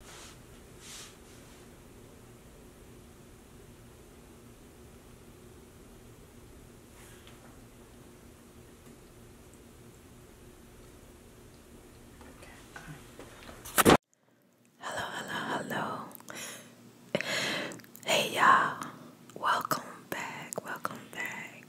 Hello, hello, hello. Hey, y'all. Welcome back. Welcome back.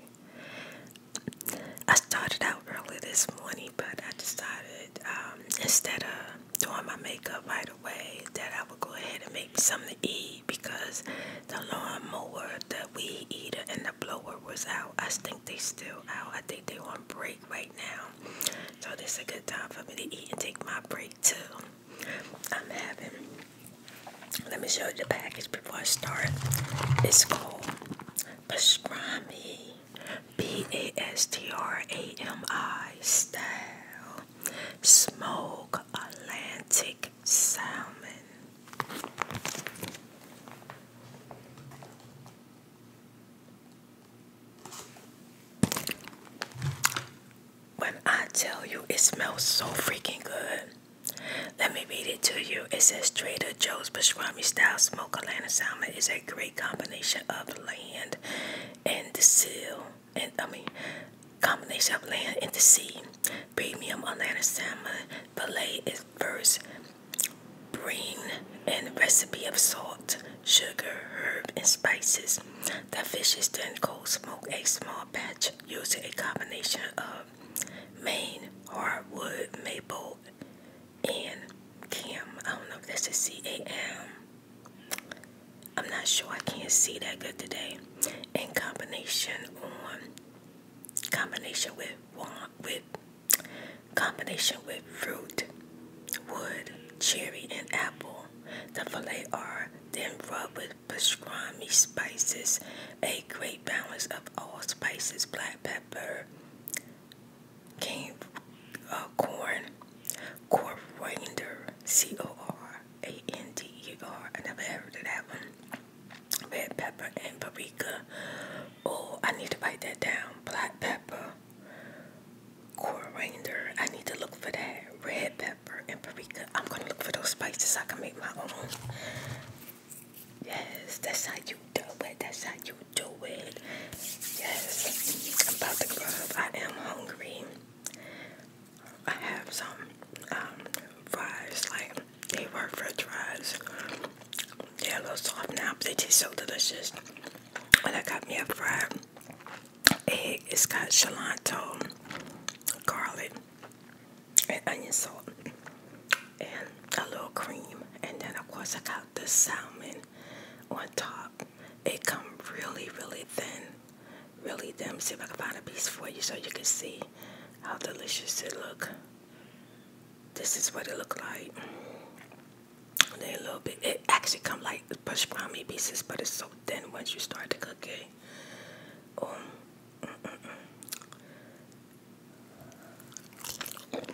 I started out early this morning, but I decided um, instead of doing my makeup right away, that I would go ahead and make me something to eat because the lawnmower, the weed eater, and the blower was out. I think they still out. I think they on break right now. So this is a good time for me to eat and take my break too. I'm having, let me show you the package before I start. It's called pastrami B A S T R A M I style. Smoke Atlantic salmon. When I tell you it smells so freaking good, let me read it to you. It says Trader Joe's pastrami style smoke Atlanta salmon is a great combination of land and the sea, and I mean, combination of land and the sea. Premium Atlanta salmon fillet is first brine and recipe of salt, sugar, herb, and spices. The fish is then cold smoked a small batch using a combination of Maine hardwood maple and Cam. I don't know if that's a C A M. I'm not sure. I can't see that good today. In combination on combination with with combination with fruit, wood, cherry, and apple. The fillet are then rubbed with pastrami spices, a great balance of all spices, black pepper, came uh, corn corporander C O R A N D E R. I never heard of that one. Red pepper and paprika. Oh, I need to write that down. Black pepper, coriander. I need to look for that. Red pepper and paprika. I'm gonna look for those spices. I can make my own. Yes, that's how you do it. That's how you do it. Yes, about to grub. I am hungry. I have some um, fries, like they were french fries. They're a little soft now, but they taste so delicious. And I got me a fried egg. It's got cilantro, garlic, and onion salt, and a little cream. And then, of course, I got the salmon on top. It come really, really thin, really thin. See if I can find a piece for you so you can see how delicious it look. This is what it look like. They a little bit. It actually come like pastrami pieces, but it's so thin once you start to cook it. Oh, mm, mm, mm.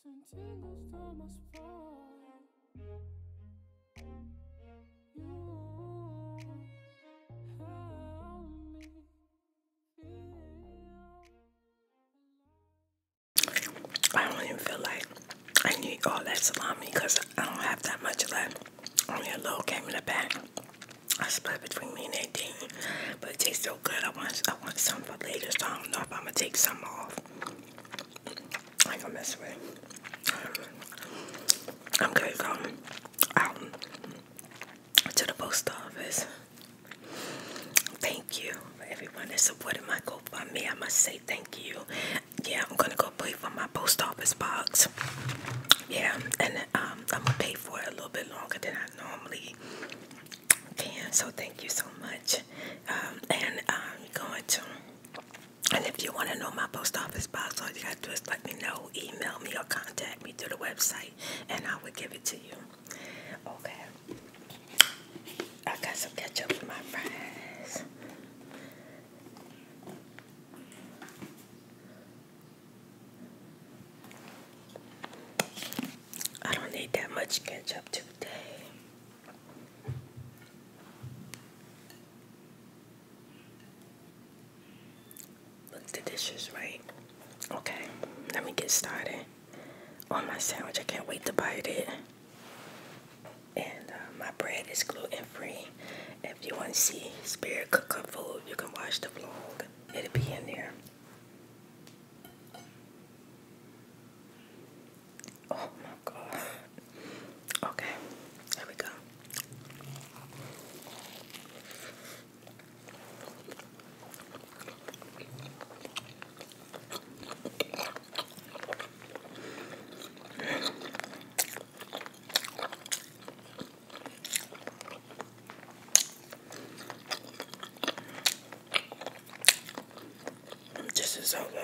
Sentindo os tomas I don't even feel like I need all that salami because I don't have that much left. Only a little came in the bag. I split between me and 18, but it tastes so good. I want, I want some for later, so I don't know if I'm gonna take some off. I am gonna mess with it. I'm gonna go out to the post office. Thank you for everyone that supported my GoFundMe. I must say thank you. Yeah, I'm gonna go pay for my post office box. Yeah, and um, I'm gonna pay for it a little bit longer than I normally can. So thank you so much. Um, and I'm um, going to. And if you want to know my post office box, all you got to do is let me know, email me, or contact me through the website, and I will give it to you. Okay. I got some ketchup for my fries. I don't need that much ketchup today. Look, the dishes, right? Okay, let me get started on my sandwich. I can't wait to bite it. And uh, my bread is gluten free. If you want to see Spirit Cook Up Food, you can watch the vlog, it'll be in there. Oh my god. Okay, here we go. This is so good.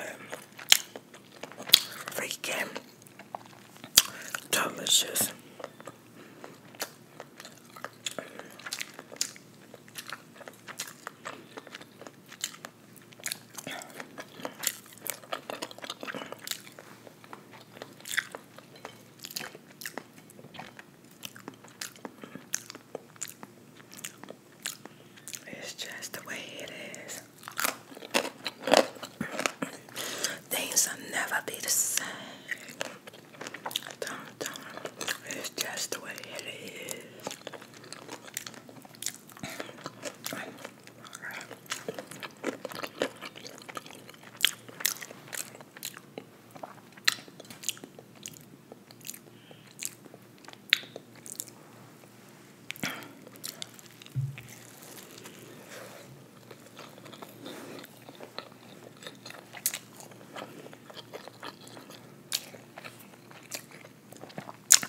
Um, freaking delicious. It's just the way it is. Things will never be the same. It's just the way it is.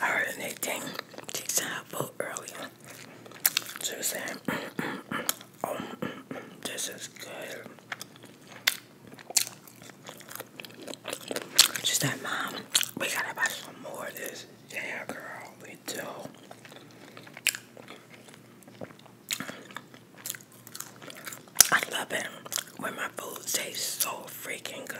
I heard an eighteen earlier. So saying oh, this is good. She said, Mom, we gotta buy some more of this. Yeah, girl, we do. I love it when my food tastes so freaking good.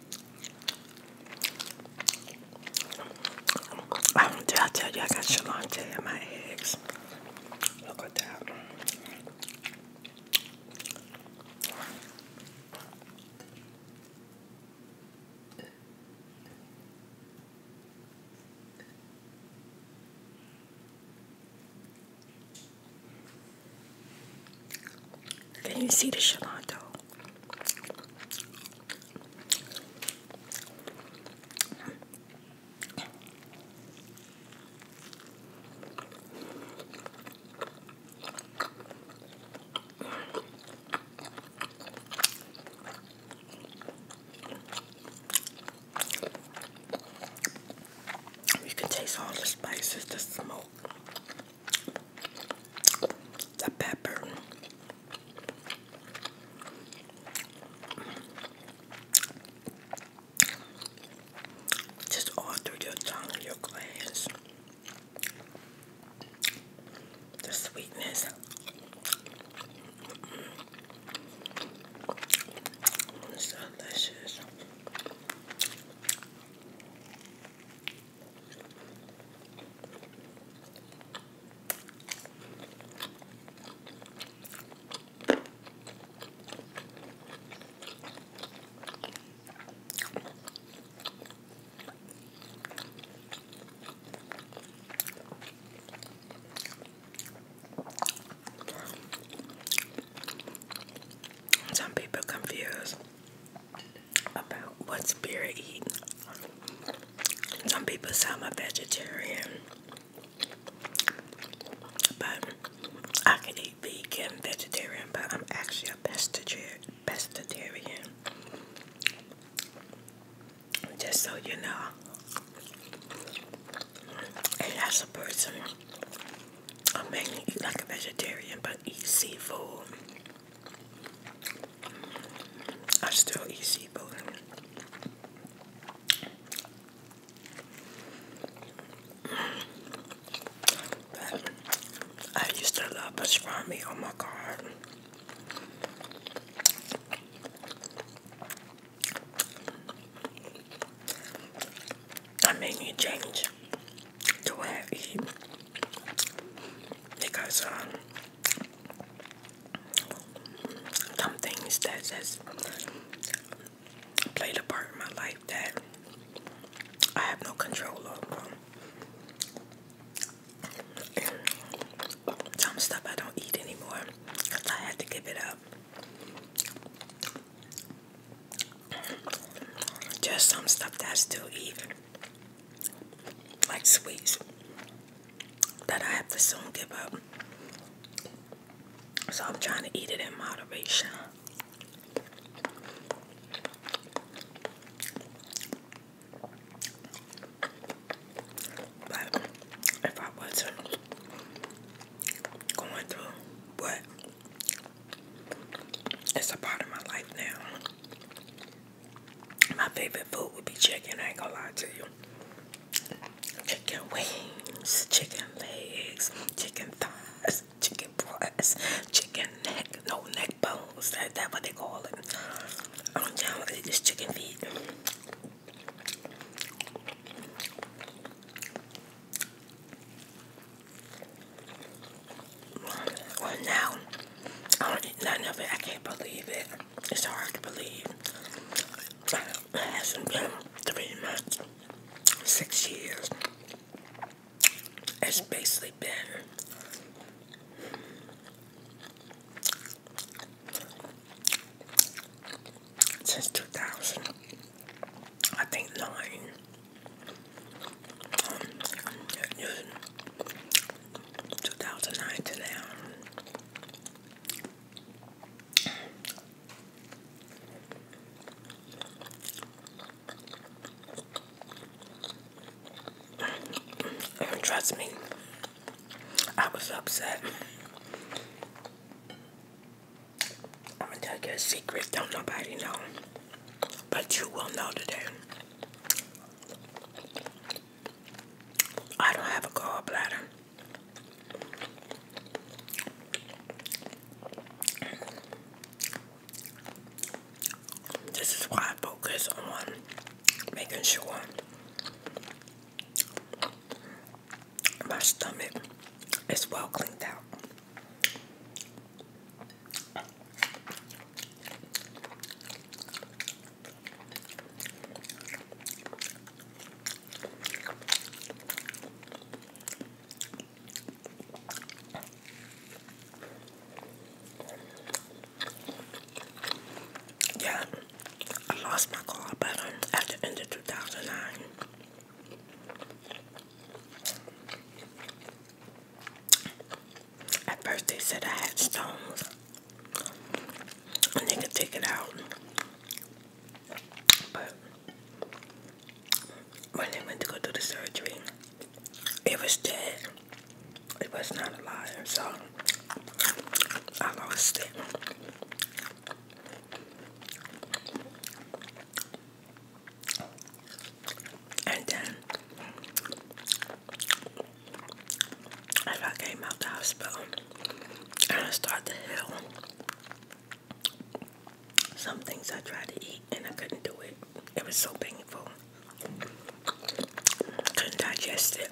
Um, did I tell you I got Shalante in my eggs? Look at that. Can you see the Shalonto? You can taste all the spices, the smoke the pepper. Just all through your tongue, your glands. The sweetness. Mm delicious. Some people confuse about what spirit eat. Some people say I'm a vegetarian, but I can eat vegan, vegetarian, but I'm actually a pestetarian. pestetarian. Just so you know, and as a person, I am mainly eat like a vegetarian, but eat seafood. I still easy, But I used to love pastrami. Oh my god. I made me change to what I because um, some things that just played a part in my life that I have no control over. Some stuff I don't eat anymore because I had to give it up. Just some stuff that I still eat like sweets that I have to soon give up. So I'm trying to eat it in moderation. But if I wasn't going through what it's a part of my life now, my favorite food would be chicken, I ain't gonna lie to you. Chicken wings, chicken legs, chicken thighs, chicken breasts, chicken neck, no neck bones, that, that's what they call it. I'm down with this chicken feet. Well, now, I don't eat none of it. I can't believe it. It's hard to believe. It hasn't been three months, six years. It's basically been since 2000, I think nine. Um, 2009 to now. Um, trust me, I was upset. I'm gonna tell you a secret, don't nobody know. But you will know today. I don't have a gallbladder. This is why I focus on making sure my stomach is well cleaned out. Yeah, I lost my car button at the end of 2009. At first they said I had stones. And they could take it out. But when they went to go do the surgery, it was dead. It was not alive, so I lost it. And then if I came out the hospital and I started to heal, some things I tried to eat and I couldn't do it. It was so painful. Couldn't digest it.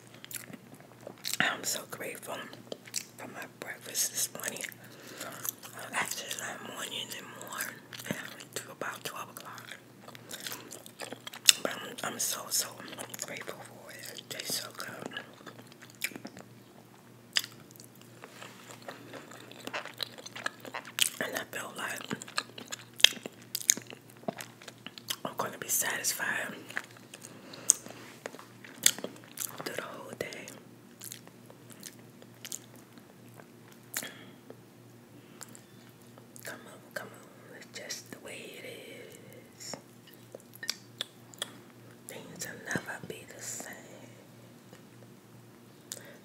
I'm so grateful for my breakfast this morning. Actually, I'm morning anymore. And I'm to about 12 o'clock. But I'm so, so grateful for it. It tastes so good. And I feel like I'm going to be satisfied through the whole day. Come on, come on, it's just the way it is. Things will never be the same.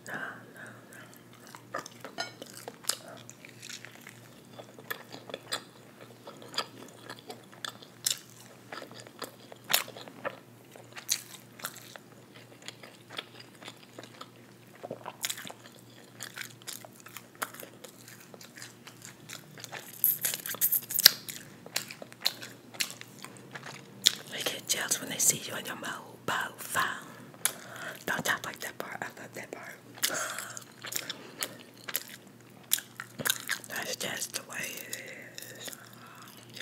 No, no, no. They get jealous when they see you in your mobile phone. Don't you like that part? I love that part. That's just the way it is. Yeah.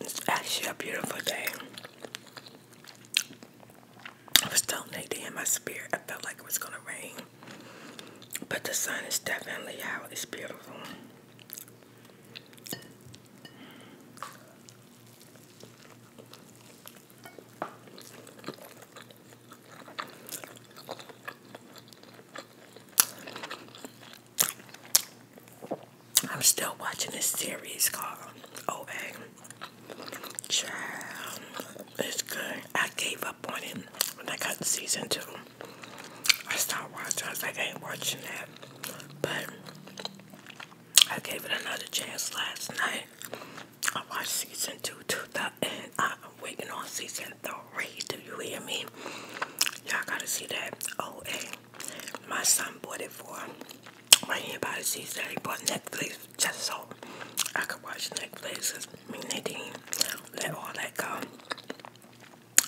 It's actually a beautiful day. I was telling Nadine in my spirit, I felt like it was gonna rain. But the sun is definitely out, it's beautiful. I'm still watching this series called OA. Child, it's good. I gave up on it when I got season two. I stopped watching. I was like, I ain't watching that. But I gave it another chance last night. I watched season two, to the end. I'm waiting on season three. Do you hear me? Y'all gotta see that. OA. My son bought it for when anybody sees that he bought Netflix just so I could watch Netflix. Cause I mean, they didn't let all that go.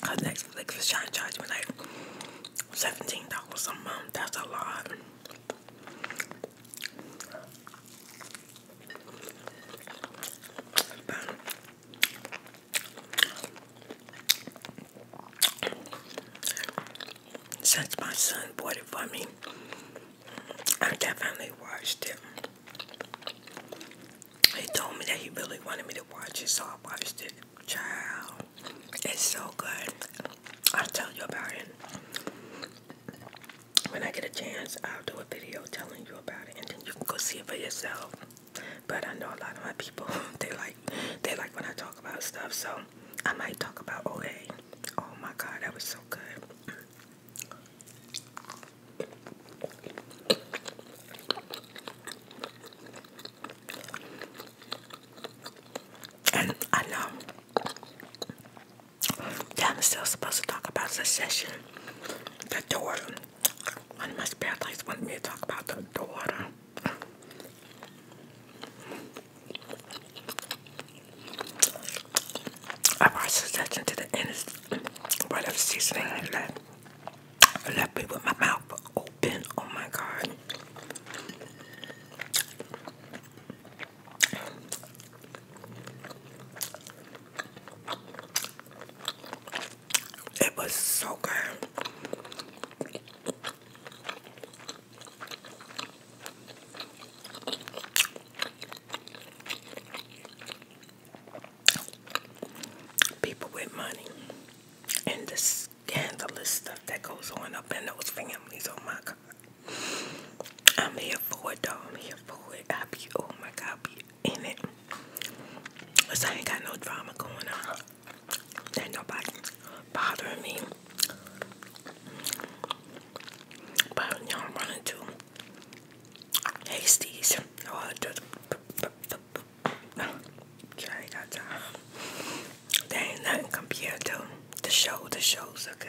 Cause Netflix was trying to charge me like seventeen dollars a month. That's a lot. Since my son bought it for me, I definitely watched it. He told me that he really wanted me to watch it, so I watched it. Child, it's so good. I'll tell you about it. When I get a chance, I'll do a video telling you about it, and then you can go see it for yourself. But I know a lot of my people, they like, they like when I talk about stuff, so I might talk about OA. Oh my god, that was so good. And I know that I'm still supposed to talk about secession. The daughter. One of my spare likes wanted me to talk about the door. I brought suggestion to the end of seasoning I left. I left me with my mouth open. Oh my god. It was so good. People with money and the scandalous stuff that goes on up in those families. Oh my God. I'm here for it, though. I'm here for it. I be, oh my God, be in it. Cause I ain't got no drama going on. Ain't nobody bothering me. But you know, I'm running to Hasties. Oh, I got time. They ain't nothing compared to the show. The shows good.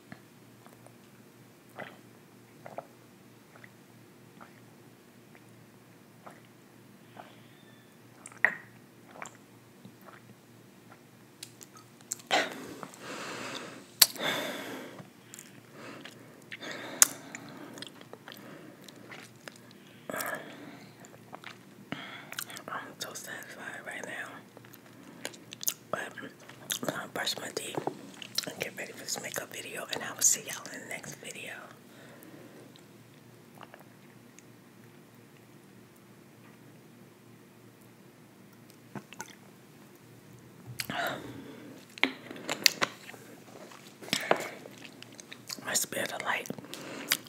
I'm so satisfied right now. But I'm um, gonna brush my teeth and get ready for this makeup video, and I will see y'all in the next video. My spirit of light.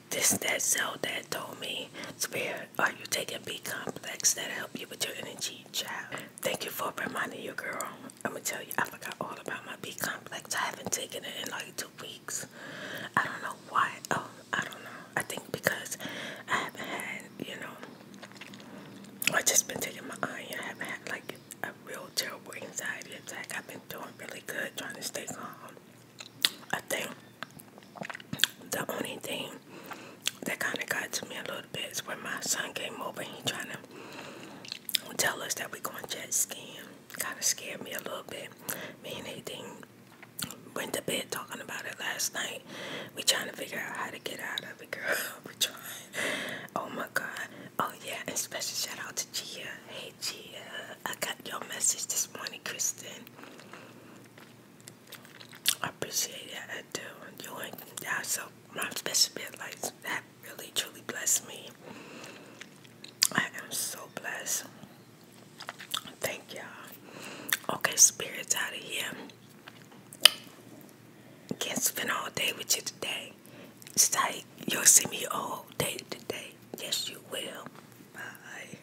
This that cell that told me spare are you taking B complex that help you with your energy, child? Thank you for reminding your girl. I'm gonna tell you, I forgot all about my B complex. I haven't taken it in like two weeks. I don't know why. Oh, I don't know. I think because I haven't had, you know, I've just been taking my iron. I haven't had like a real terrible anxiety attack. I've been doing really good, trying to stay calm. I think the only thing that kind of got to me a little bit is when my son came over and he trying to tell us that we're going jet skiing. Kind of scared me a little bit. Me and Nathan went to bed talking about it last night. We trying to figure out how to get out of it, girl. we trying. Oh my God. Oh yeah, and special shout out to Gia. Hey Gia, I got your message this morning, Kristen. I appreciate that. I do. You and you so my special bit like that really truly bless me. I am so blessed. Thank y'all. Okay, spirits out of here. Can't spend all day with you today. It's like you'll see me all day today. Yes, you will. Bye.